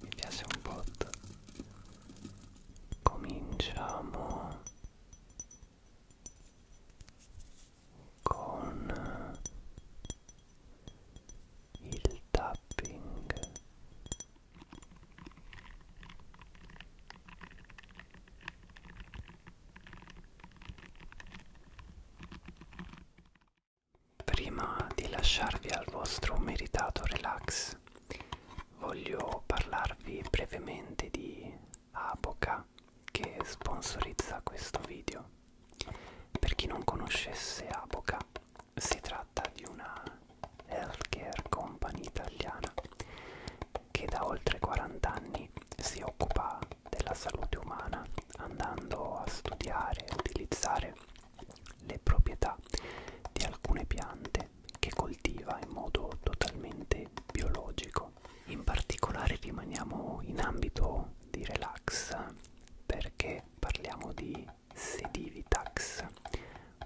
Mi piace un bot. Cominciamo con il tapping. Prima di lasciarvi al vostro meritato relax, voglio parlarvi brevemente di Aboca che sponsorizza questo video. Per chi non conoscesse Aboca, si tratta di una healthcare company italiana che da oltre 40 anni si occupa della salute umana andando a studiare e utilizzare le proprietà di alcune piante che coltiva in modo totalmente biologico. In particolare rimaniamo in ambito di relax perché parliamo di Sedivitax,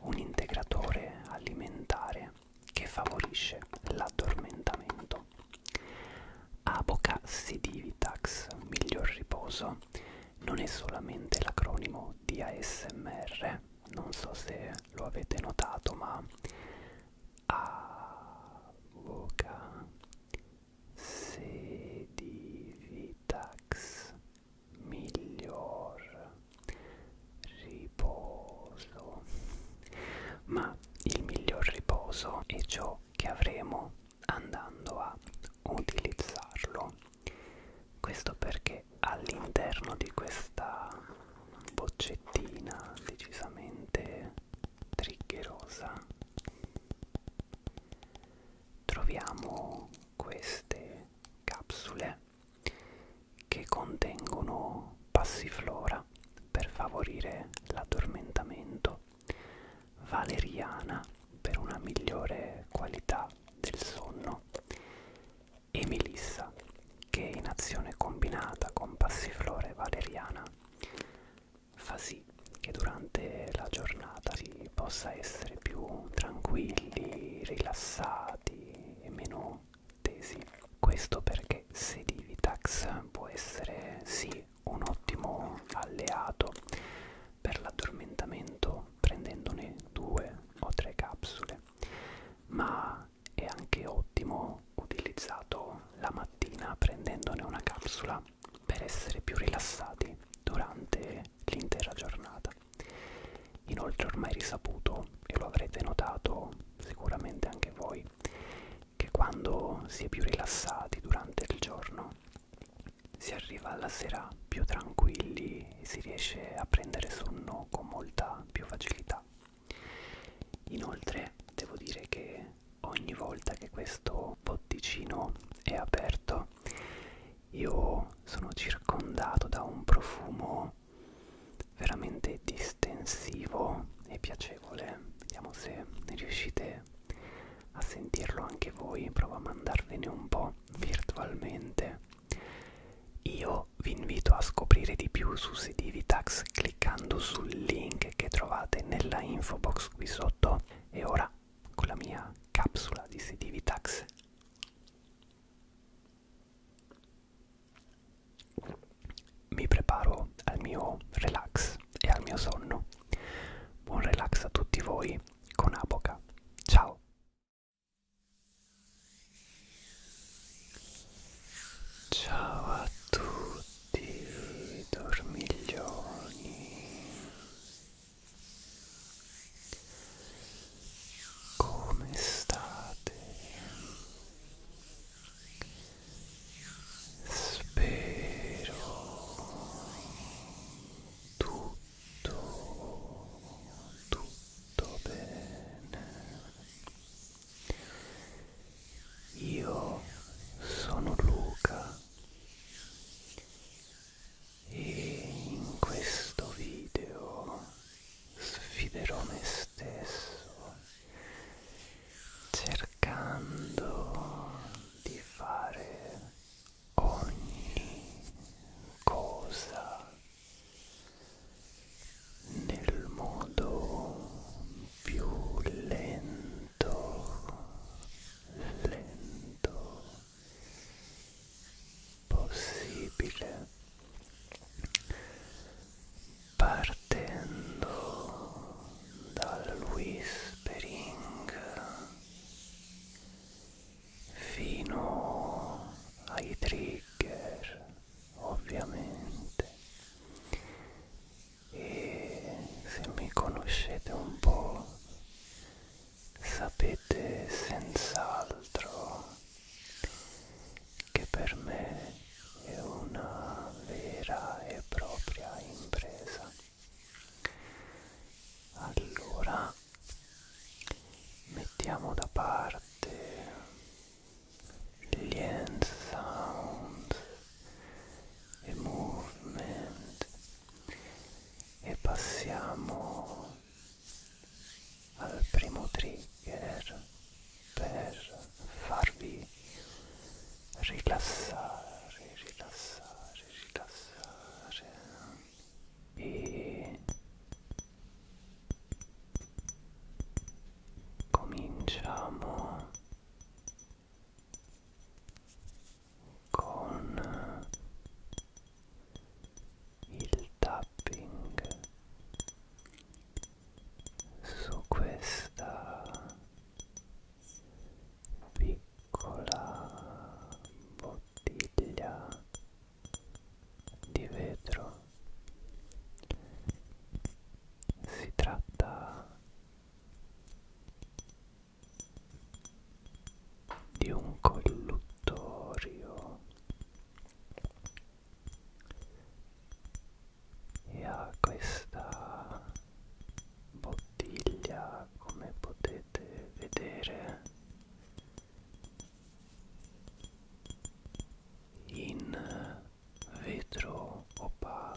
un integratore alimentare che favorisce l'addormentamento. Aboca Sidivitax, miglior riposo, non è solamente l'acronimo di ASMR, non so se lo avete notato, ma Aboca Sedivitax, miglior riposo. Ma il miglior riposo è ciò che avremo andando a utilizzarlo questo perché all'interno di questa boccettina decisamente triggerosa troviamo queste capsule che contengono passiflora Valeria per favorire l'addormentamento, Valeriana per una migliore qualità del sonno e Melissa che in azione combinata con passiflora e valeriana fa sì che durante la giornata si possa essere più tranquilli, rilassati e meno tesi. Questo perché Sedivitax può essere sì un ottimo alleato per l'addormentamento prendendone due o tre capsule, ma è anche ottimo utilizzato la mattina prendendone una capsula per essere più rilassati durante l'intera giornata. Inoltre ormai risaputo, e lo avrete notato sicuramente anche voi, che quando si è più rilassati durante il giorno si arriva alla sera più tranquilli e si riesce a prendere sonno con molta più facilità. Inoltre devo dire che ogni volta che questo botticino è aperto io sono circondato da un profumo veramente di estensivo e piacevole vediamo se riuscite a sentirlo anche voi provo a mandarvene un po' virtualmente io vi invito a scoprire di più su Sedivitax cliccando sul link che trovate nella info box qui sotto e ora con la mia capsula di Sedivitax mi preparo al mio relax e al mio sonno. Buon relax a tutti voi con Apoca. Ciao! Ciao a tutti dormiglioni. Come state? spero tutto tutto bene io sono Luca e in questo video sfiderò me stesso cercando di fare ogni cosa nel modo più lento lento possibile partendo dal whispering fino ai trigger ovviamente e se mi conoscete un po' sapete senz'altro che per me è una vera e propria impresa allora mettiamo da parte gli end sounds e movement e passiamo al primo trigger per farvi rilassare, rilassare, rilassare e cominciamo con il tapping su questa piccola bottiglia di vetro si tratta di un colluttorio e ha questa bottiglia come potete vedere in vetro opaco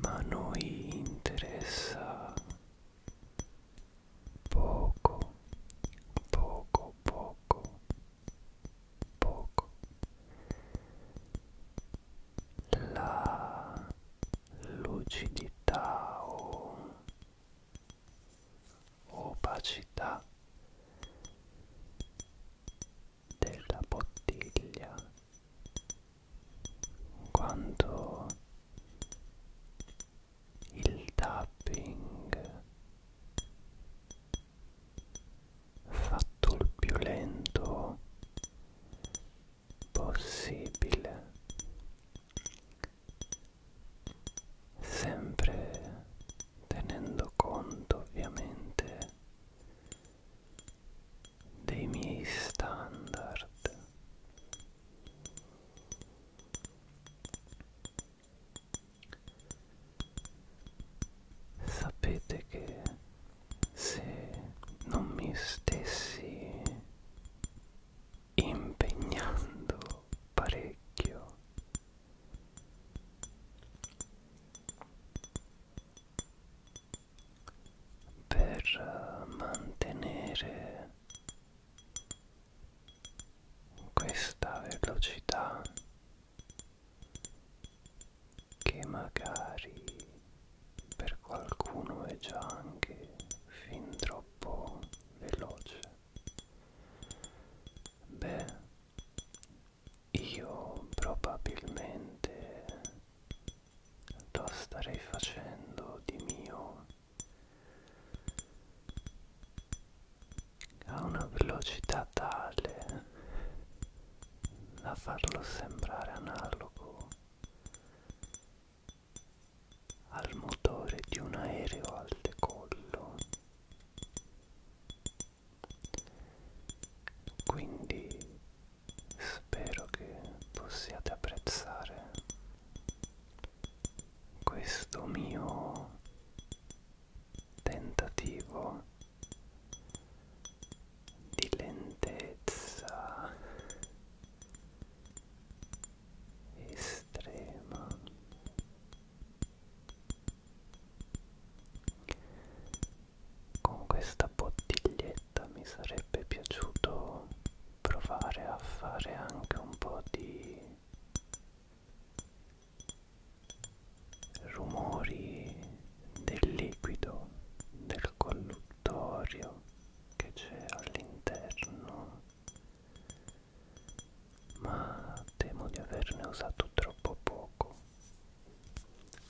ma a noi interessa poco, poco, poco, poco. La lucidità o opacità della bottiglia quanto il tapping fatto il più lento possibile sempre tenendo conto ovviamente dei miei standard sapete che se non mi stessi impegnando parecchio per eh, mantenere questa velocità che magari per qualcuno è già anche fin troppo veloce beh io probabilmente quanto starei facendo di mio a una velocità tale da farlo sembrare analogo al motore di un aereo al decollo quindi spero che possiate apprezzare questo mio tentativo di lentezza estrema con questa bottiglietta mi sarebbe piaciuto provare a fare anche un po' di rumori del liquido del colluttorio che c'è all'interno ma temo di averne usato troppo poco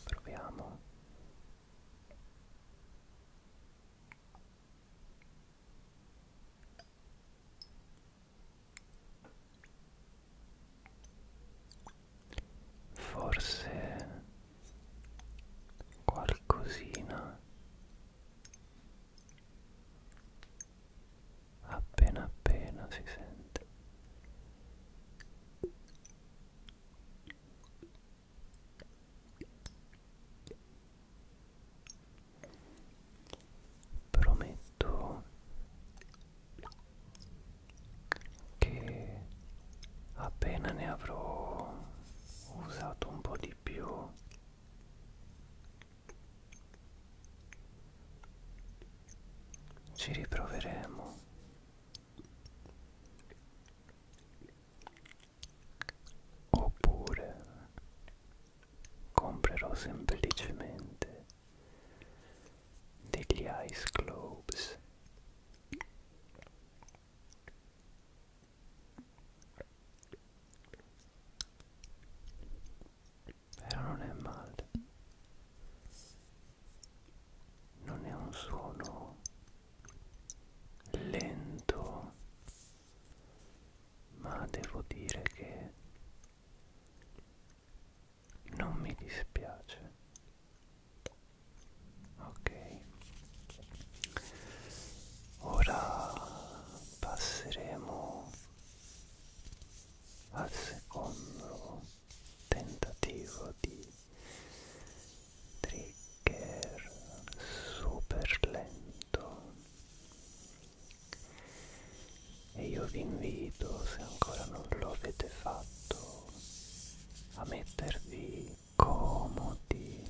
proviamo Forse qualcosina appena appena si sente Prometto che appena ne avrò usato un po' di più ci riproveremo oppure comprerò semplicemente degli ice globes però non è male non è un suono lento ma devo dire che non mi dispiace ok ora passeremo al secondo tentativo di trigger super lento e io vi invito se ancora non lo avete fatto a mettervi comodi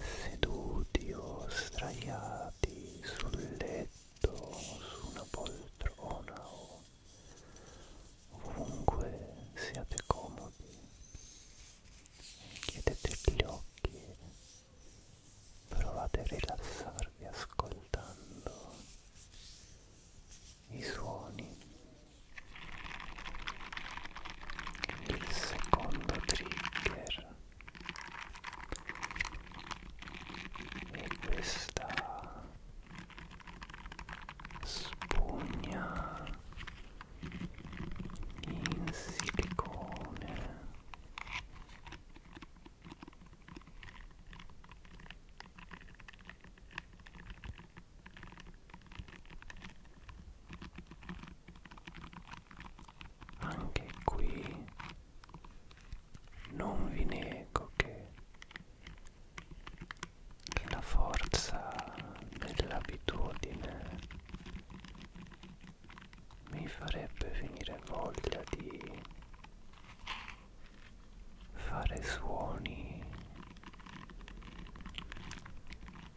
seduti o straiati sul letto su una poltrona o ovunque siate comodi chiudete gli occhi provate a rilassarvi ascoltando i suoni il secondo trigger e questa spugna in silicone anche qui non vi nego che che la forza dell'abitudine mi farebbe venire voglia di fare suoni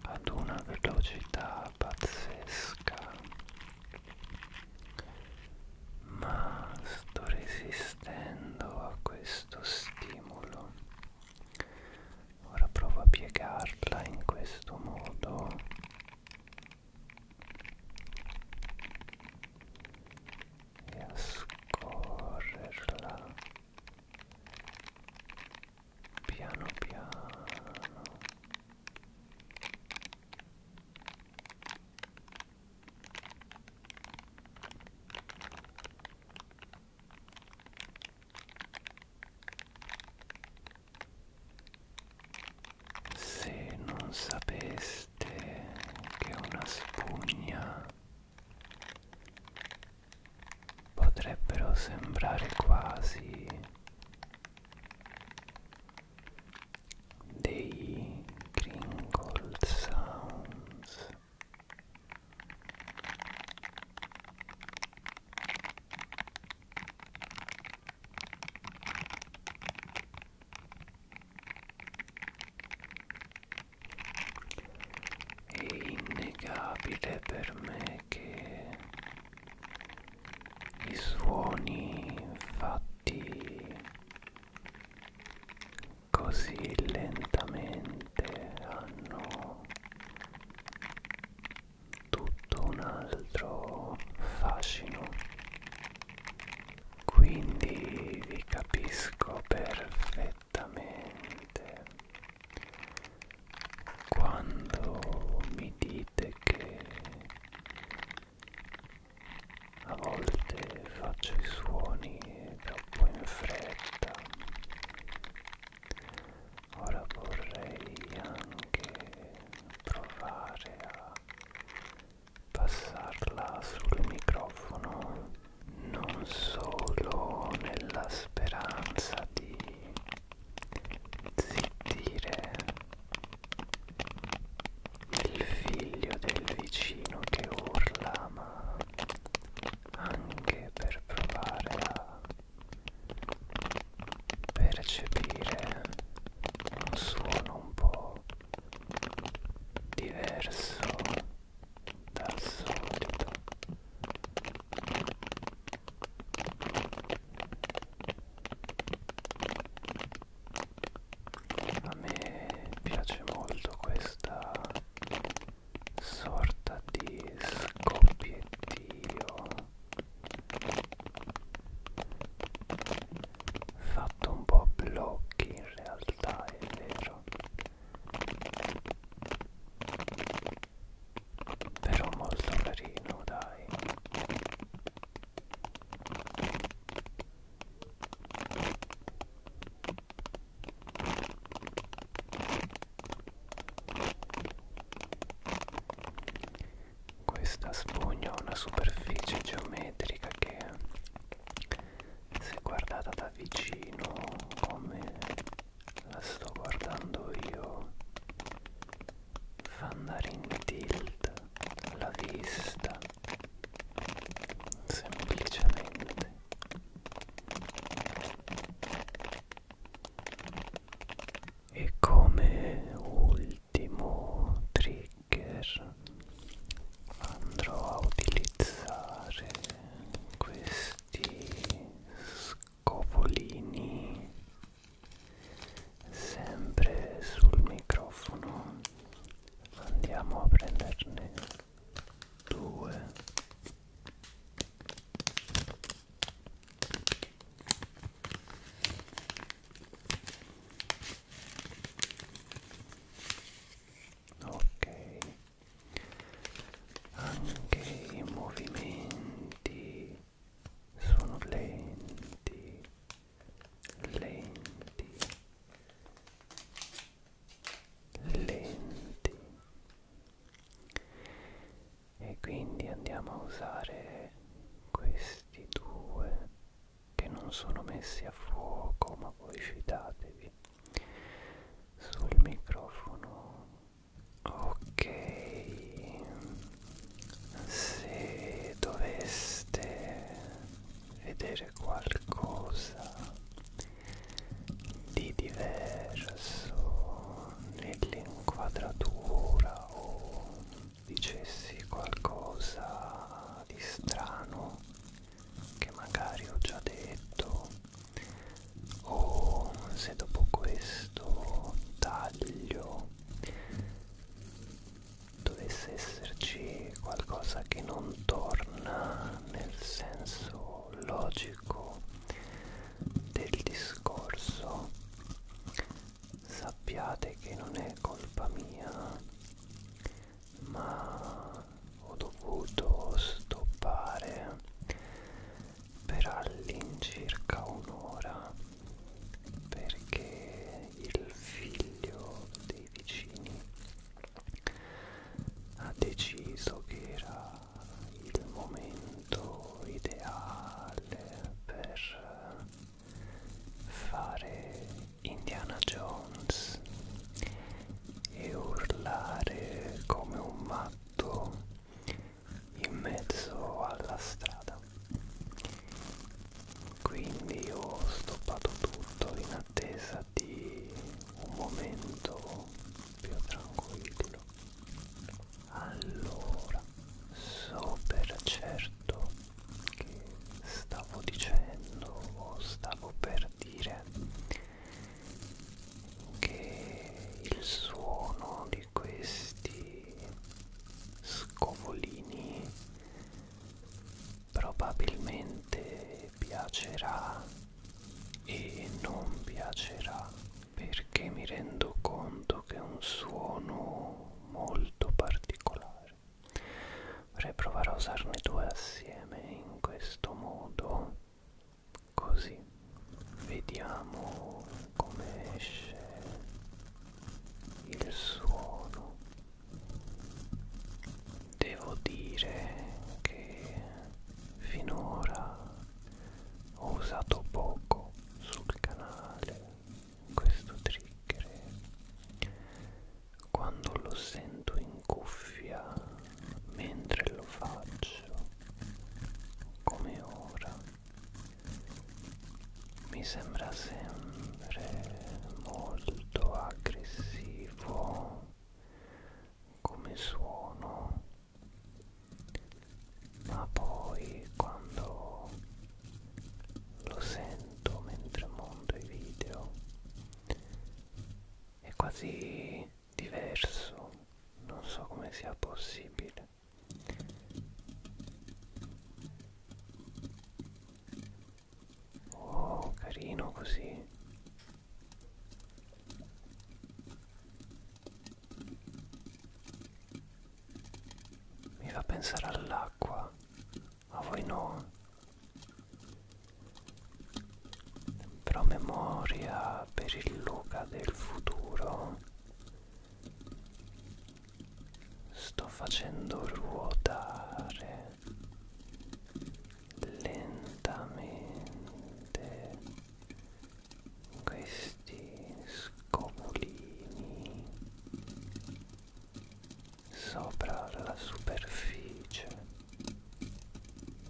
ad una velocità pazzesca ma sto resistendo a questo questo stimolo ora provo a piegarla in questo modo e a scorrerla piano piano se non sapeste che una spugna potrebbero sembrare quasi dei crinkle sounds è innegabile per me che i suoni fatti così lentamente hanno tutto un altro fascino quindi vi capisco perfettamente quando mi dite che a volte faccio i suoni troppo in fretta ora vorrei anche provare a passarla sul microfono non solo nella speranza di zittire il figlio del vicino che urla ma anche per provare a percepire un suono un po' diverso dal solito a me piace molto questa sorta di scoppiettio fatto un po' a blocchi in realtà è vero però molto carino dai questa spugna ha una superficie geometrica che se guardata da vicino come la sto guardando io fa andare in tilt la vista semplicemente e come ultimo trigger andrò a utilizzare questi scopolini sempre sul microfono andiamo a prenderne due ok anche i movimenti sono lenti lenti lenti e quindi andiamo a usare questi due che non sono messi a fuoco ma voi fidatevi sul microfono ok se doveste vedere c'è qualcosa di diverso nell'inquadratura o dicessi qualcosa di strano che magari ho già detto o se dopo questo taglio dovesse esserci qualcosa che non torna nel senso logico del discorso, sappiate che non è colpa mia, ma ho dovuto stoppare per all'incirca un'ora perché il figlio dei vicini ha deciso che era il momento ideale per fare Indiana Jones e urlare come un matto in mezzo alla strada quindi ho stoppato tutto in attesa Goderti un momento più tranquillo. Allora, so per certo che stavo dicendo o stavo per dire che il suono di questi scovolini probabilmente piacerà e non piacerà perché mi rendo conto che è un suono molto particolare vorrei provare a usarne due assieme in questo modo così vediamo come esce il suono Devo dire che finora ho usato poco sul canale questo trigger. Quando lo sento in cuffia mentre lo faccio, come ora, mi sembra sempre sempre molto aggressivo come suono ma poi quando lo sento mentre monto i video è quasi diverso non so come sia possibile Oh, carino così. Mi fa pensare all'acqua, a voi no. Però memoria per il Luca del futuro. Sto facendo ruotare lentamente questi scopolini sopra la superficie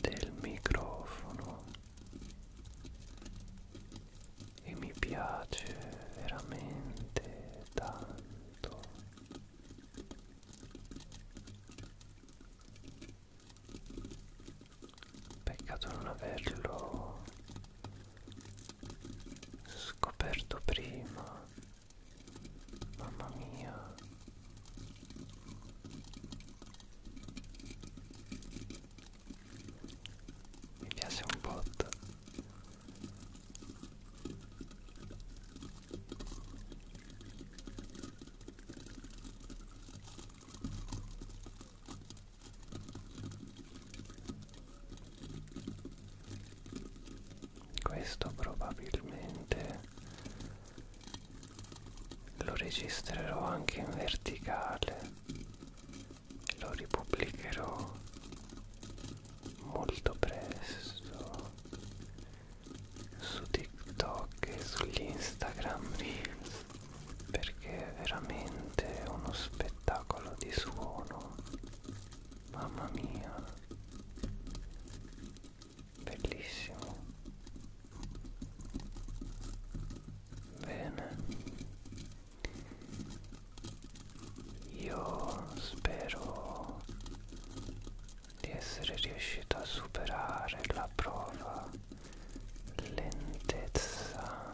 del microfono e mi piace veramente tanto Peccato non averlo scoperto prima. Mamma mia. Mi piace un botto questo probabilmente lo registrerò anche in verticale e lo ripubblicherò molto presto su TikTok e sugli Instagram Reels perché è veramente uno spettacolo di suono. Mamma mia. Bellissimo. Bene io spero di essere riuscito a superare la prova lentezza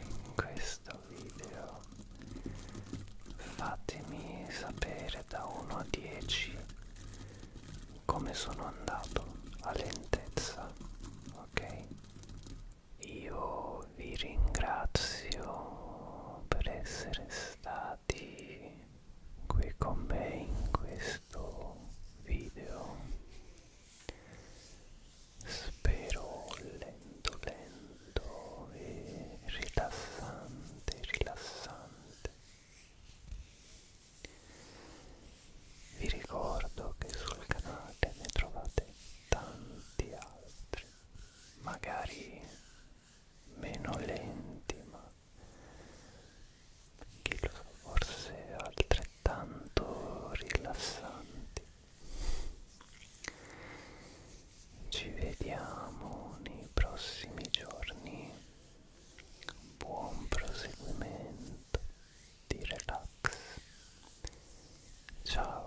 in questo video fatemi sapere da 1 a 10 come sono andato a lentezza ok io vi ringrazio per essere stati qui con me in questo video spero lento lento e rilassante rilassante vi ricordo che sul canale ne trovate tanti altri magari meno lenti ma che lo so, forse altrettanto rilassanti ci vediamo nei prossimi giorni buon proseguimento di relax ciao